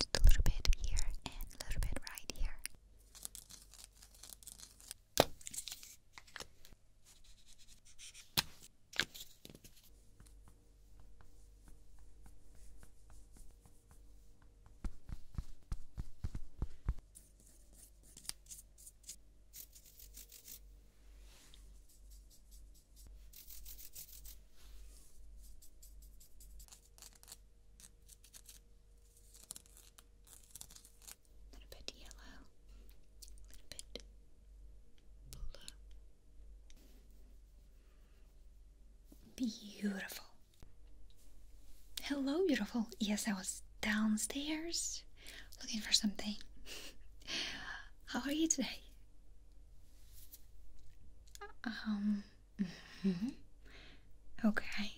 Just a little bit here and a little bit right here. A little bit yellow, a little bit blue. Beautiful. Hello, beautiful. Yes, I was downstairs looking for something. How are you today? Um, Mm-hmm. Okay.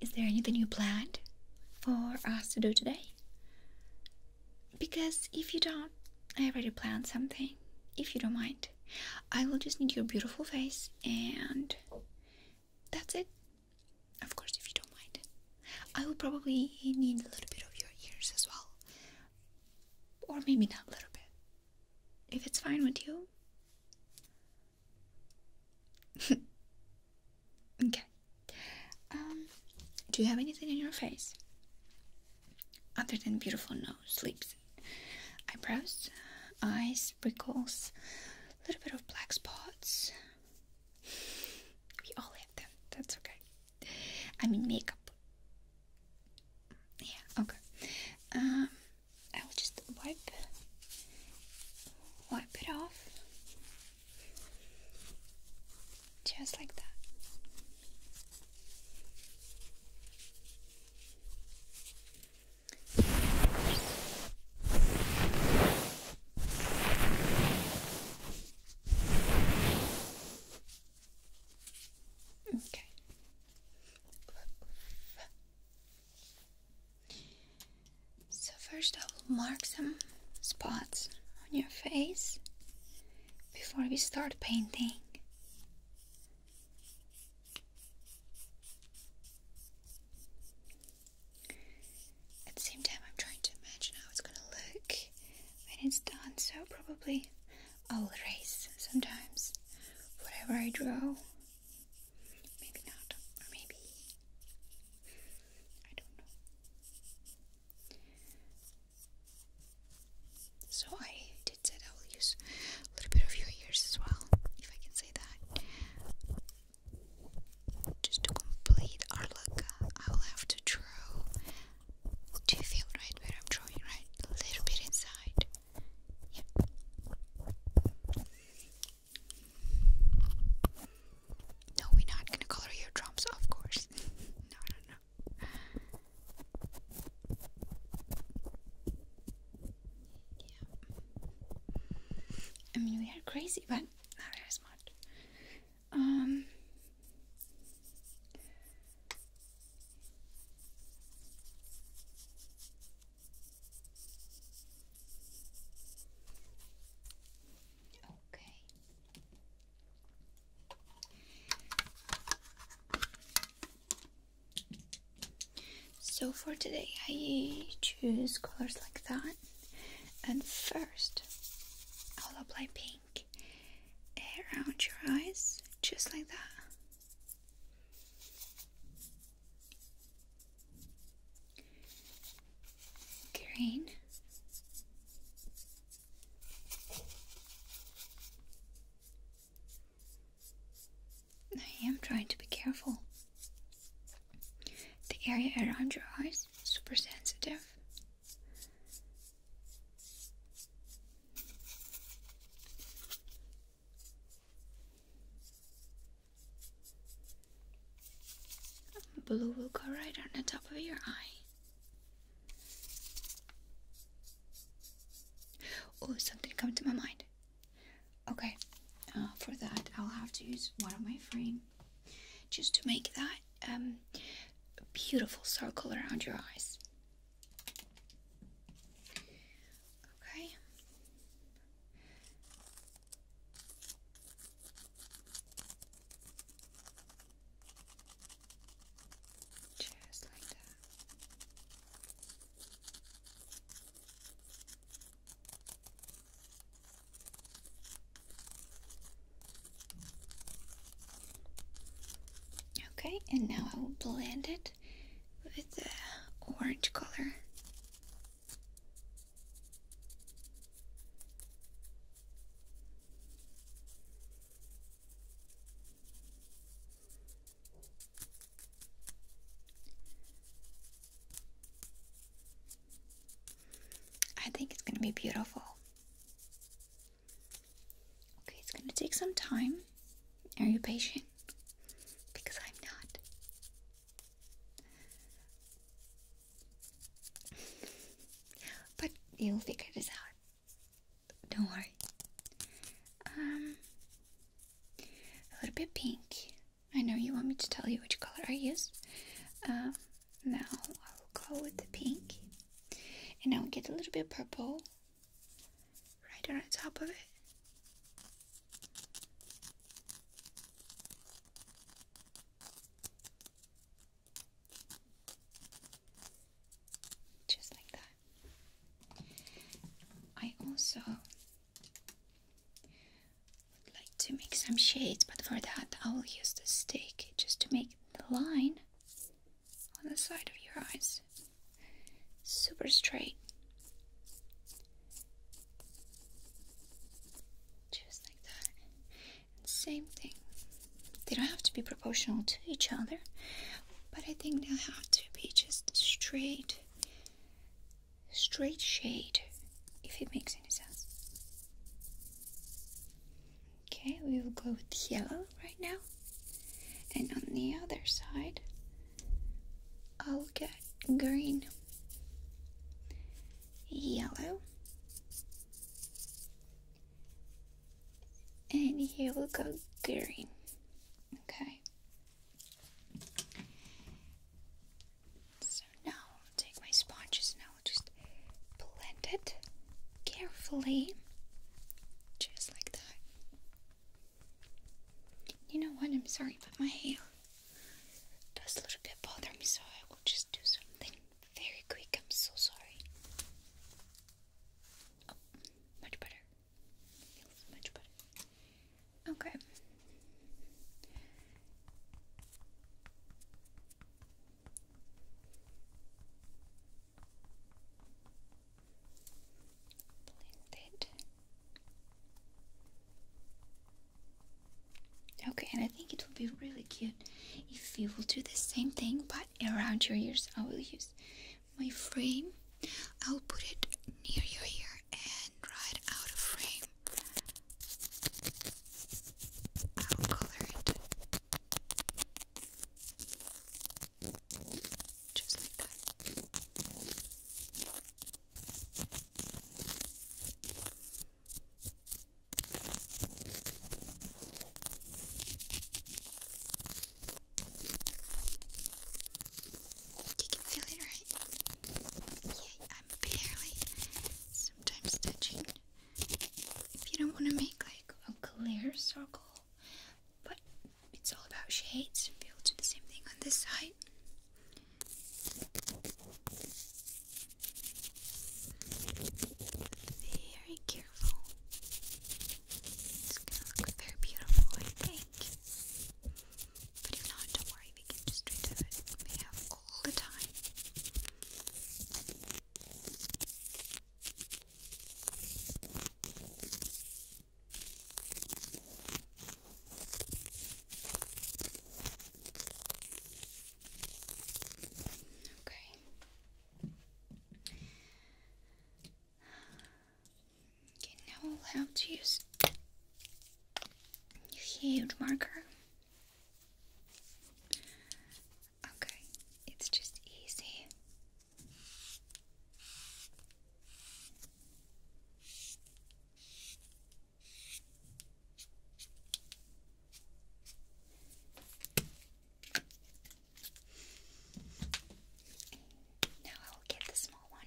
Is there anything you planned for us to do today? Because if you don't, I already planned something. If you don't mind, I will just need your beautiful face and that's it. Of course, if you don't mind, I will probably need a little bit of your ears as well. Or maybe not a little bit if it's fine with you. okay. Um, do you have anything in your face? Other than beautiful nose, lips, eyebrows, eyes, wrinkles, a little bit of black spots. We all have them, that's okay. I mean, makeup yeah, okay. Um, I will just wipe, wipe it off, just like that. Okay, so, first I will mark some spots on your face before we start painting. At the same time, I'm trying to imagine how it's gonna look when it's done, so probably I'll erase sometimes whatever I draw. Maybe not, or maybe I don't know. So I did say I will use a little bit of your ears as well, if I can say that. Just to complete our look, I will have to draw. Do you feel right where I'm drawing, right? A little bit inside. No, we're not gonna color your of course. no, no, no. I mean, we are crazy, but not very smart. Um, Okay. So for today, I choose colors like that, and first I'll apply pink around your eyes, just like that. Green. I am trying to be careful. The area around your eyes is super sensitive. Blue will go right on the top of your eye. Oh, something come to my mind. Okay, uh, for that I'll have to use one of my frame just to make that um, beautiful circle around your eyes. Okay. Just like that. Okay, and now I will blend it with the orange color. I think it's gonna be beautiful. Okay, it's gonna take some time. Are you patient? because I'm not. but you'll figure this out. Don't worry. Um, a little bit pink. I know you want me to tell you which color I use. Um, now I'll go with the pink, and I'll get a little bit purple right on top of it. Just like that. I also would like to make some shades, but for that I will use the stick just to make the line on the side of your eyes super straight. Just like that. same thing. They don't have to be proportional to each other, but I think they'll have to be just straight, straight shade, if it makes any sense. Okay, we will go with yellow right now. And on the other side, I'll get green, yellow, and here we'll go green. Okay. So now I'll take my sponges and I'll just blend it carefully, just like that. You know what? I'm sorry, but my hair does a little bit bother me, so I will just do something very quick. I'm so sorry. Oh, much better. much better. Okay. Okay, and I think it will be really cute if you will do the same thing but around your ears. I will use my frame. I'll put it near your ear and right out of frame. I'll color it just like that. You can feel it, right? Yeah, I'm barely sometimes touching. If you don't want to make like a clear circle, but it's all about shades. If do the same thing on this side. Very careful. It's gonna look very beautiful, I think. But if not, don't worry, we can just redo it. We have all the time. Okay. Okay, now I'll have to use huge marker. Okay, it's just easy. Now I will get the small one.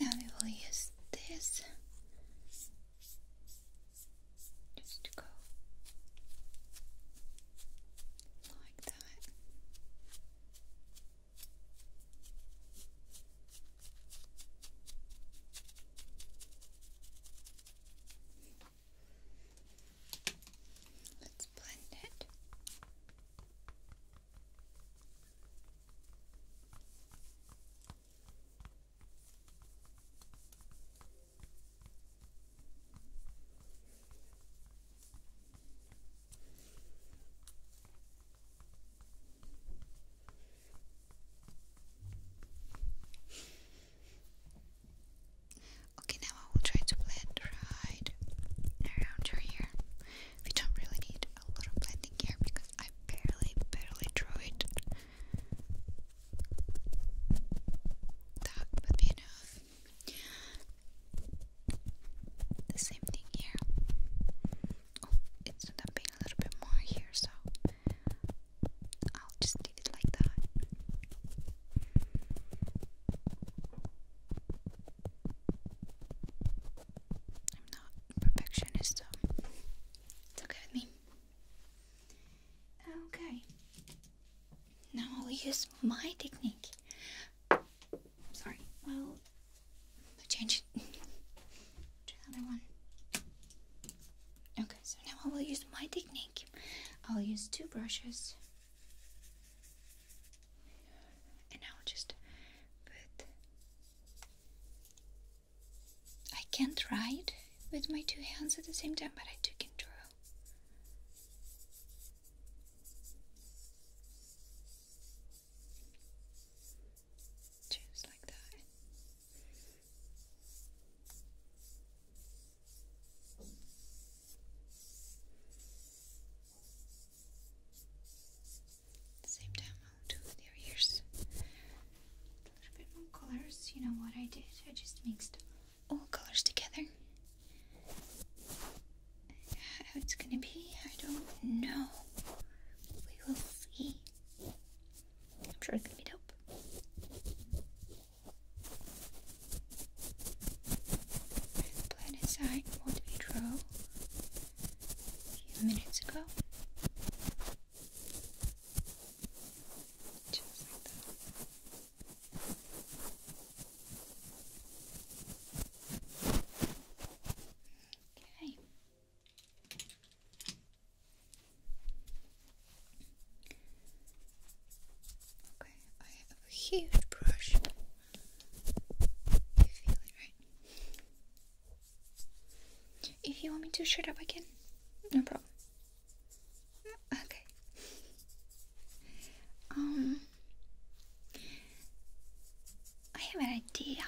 now we will use this just to go like that. Let's blend it. Okay, now I will try to blend right around your hair. We don't really need a lot of blending here because I barely, barely drew it. That would be enough. The same thing here. Oh, it's not a little bit more here, so I'll just leave it like that. I'm not perfectionist, it's okay with me. Okay. Now I'll use my technique. Sorry. Well, change it to another one. Okay, so now I will use my technique. I'll use two brushes and I'll just I can't write with my two hands at the same time, but I do can draw. Just like that same time, I'll do their ears. A little bit more colors. You know what I did? I just mixed all colors together. How it's gonna be, I don't know. We will see. I'm sure it's gonna be dope. Put aside what we drew a few minutes ago. Just like that. Okay. Okay, I have a huge brush. If you want me to shut up, again, No problem. Okay. Um, I have an idea.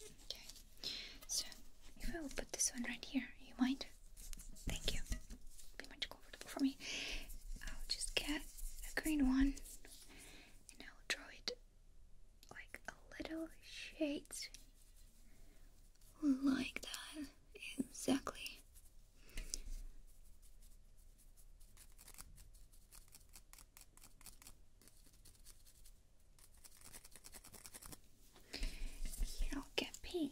Okay, so if I will put this one right here, you mind? Thank you. Be much comfortable for me. I'll just get a green one and I'll draw it like a little shade like that. Exactly you I'll get pink.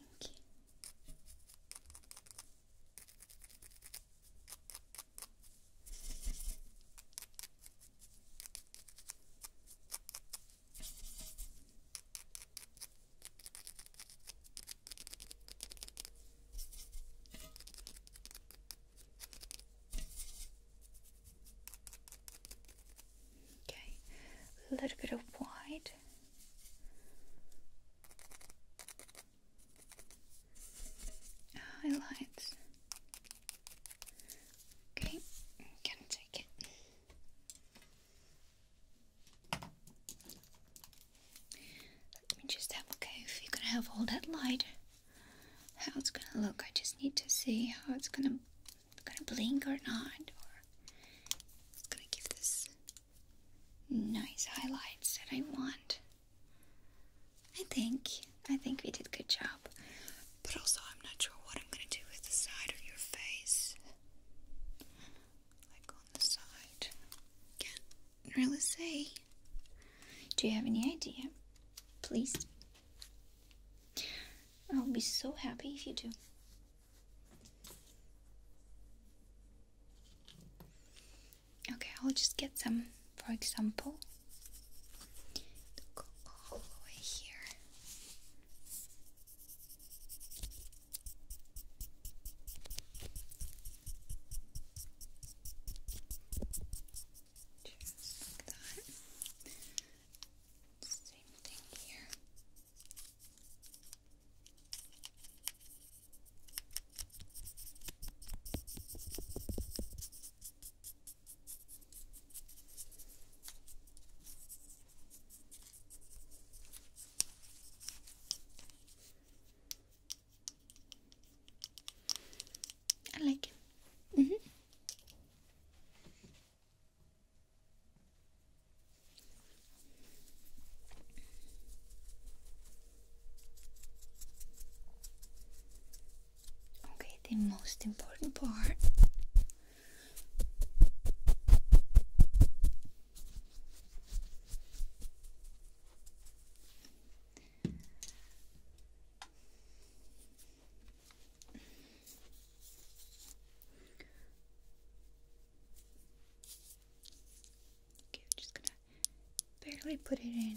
Okay, a little bit of white. Highlights. Okay, can take it. Let me just have okay if you can have all that light. How it's gonna look. I just need to see how it's gonna gonna blink or not, or it's gonna give this nice highlights that I want. I think I think we did a good job, but also I'm not sure what I'm gonna do with the side of your face, like on the side. Can't really say. Do you have any idea? Please. I'll be so happy if you do. Okay, I'll just get some, for example, go all the way here. Same thing here. I like it. Mm -hmm. Okay, the most important part. Okay, we just gonna barely put it in.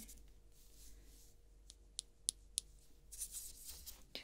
Just like that.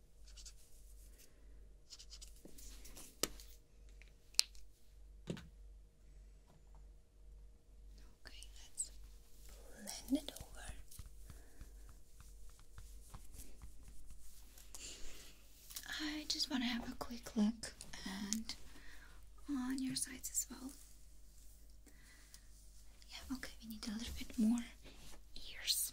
Okay, let's blend it over. I just want to have a quick look and on your sides as well. Yeah, okay, we need a little bit more ears.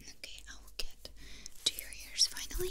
Okay, I will get to your ears finally.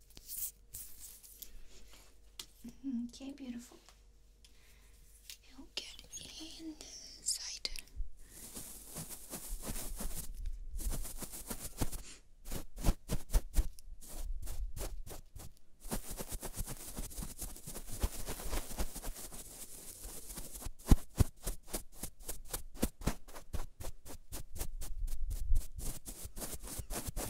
Mm-hmm, okay, beautiful. You'll get inside.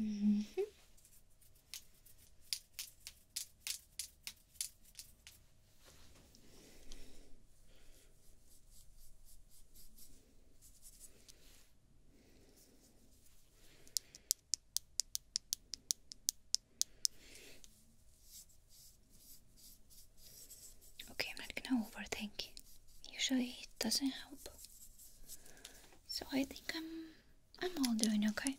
Mm-hmm. Okay, I'm not gonna overthink. Usually it doesn't help. So I think I'm I'm all doing okay.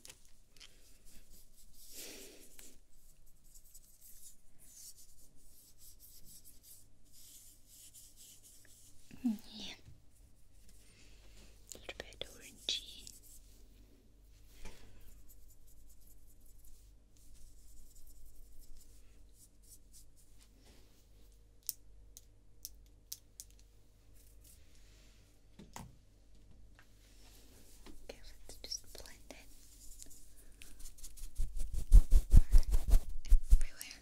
Yeah. A little bit orangey. Okay, let's just blend it everywhere.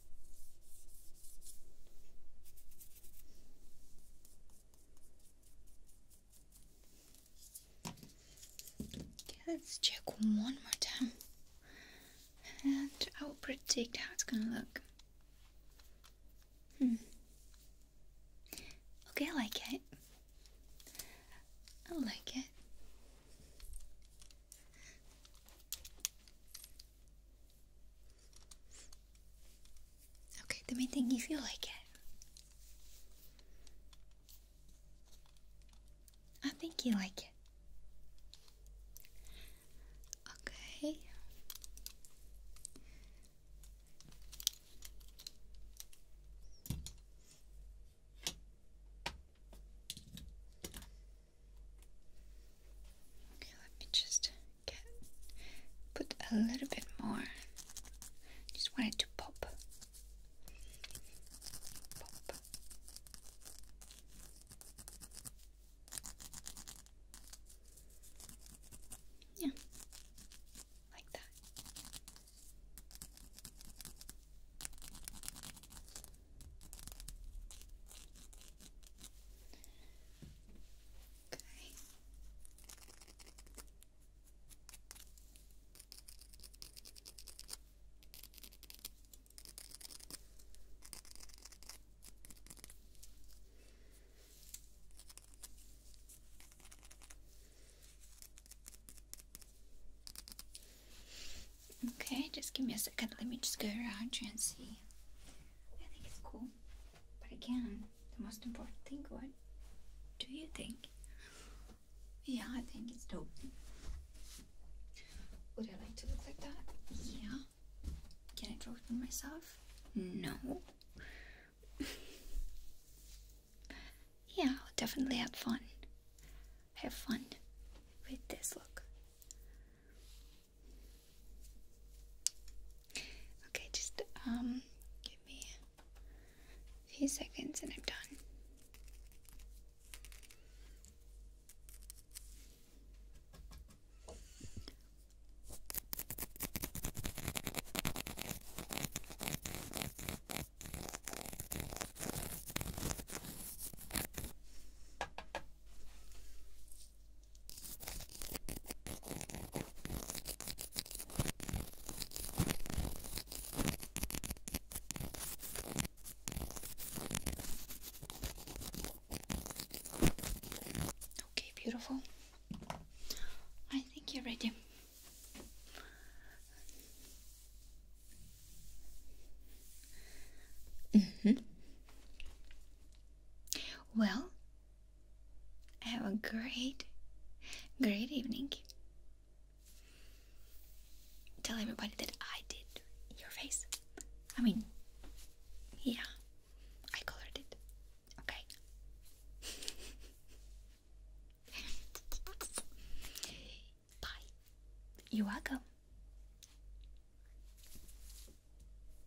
let's check one more time, and I will predict how it's gonna look. Hmm. Okay, I like it. I like it. Okay, let me think if you like it. I think you like it. Okay. Okay, let me just put a little bit more. Just wanted to Pop. Yeah. Like that. Okay. Okay, just give me a second. Let me just go around and see. I think it's cool. But again, the most important thing, what do you think? Yeah, I think it's dope. Would I like to look like that? Yeah. Can I draw it on myself? No. yeah, definitely have fun. Have fun with this look. Okay, just um, give me a few seconds and I'm done. Okay, beautiful. I think you're ready. Mm -hmm. Well, have a great, great evening. Tell everybody that I did your face. I mean, yeah, I colored it. Okay. Bye. You're welcome.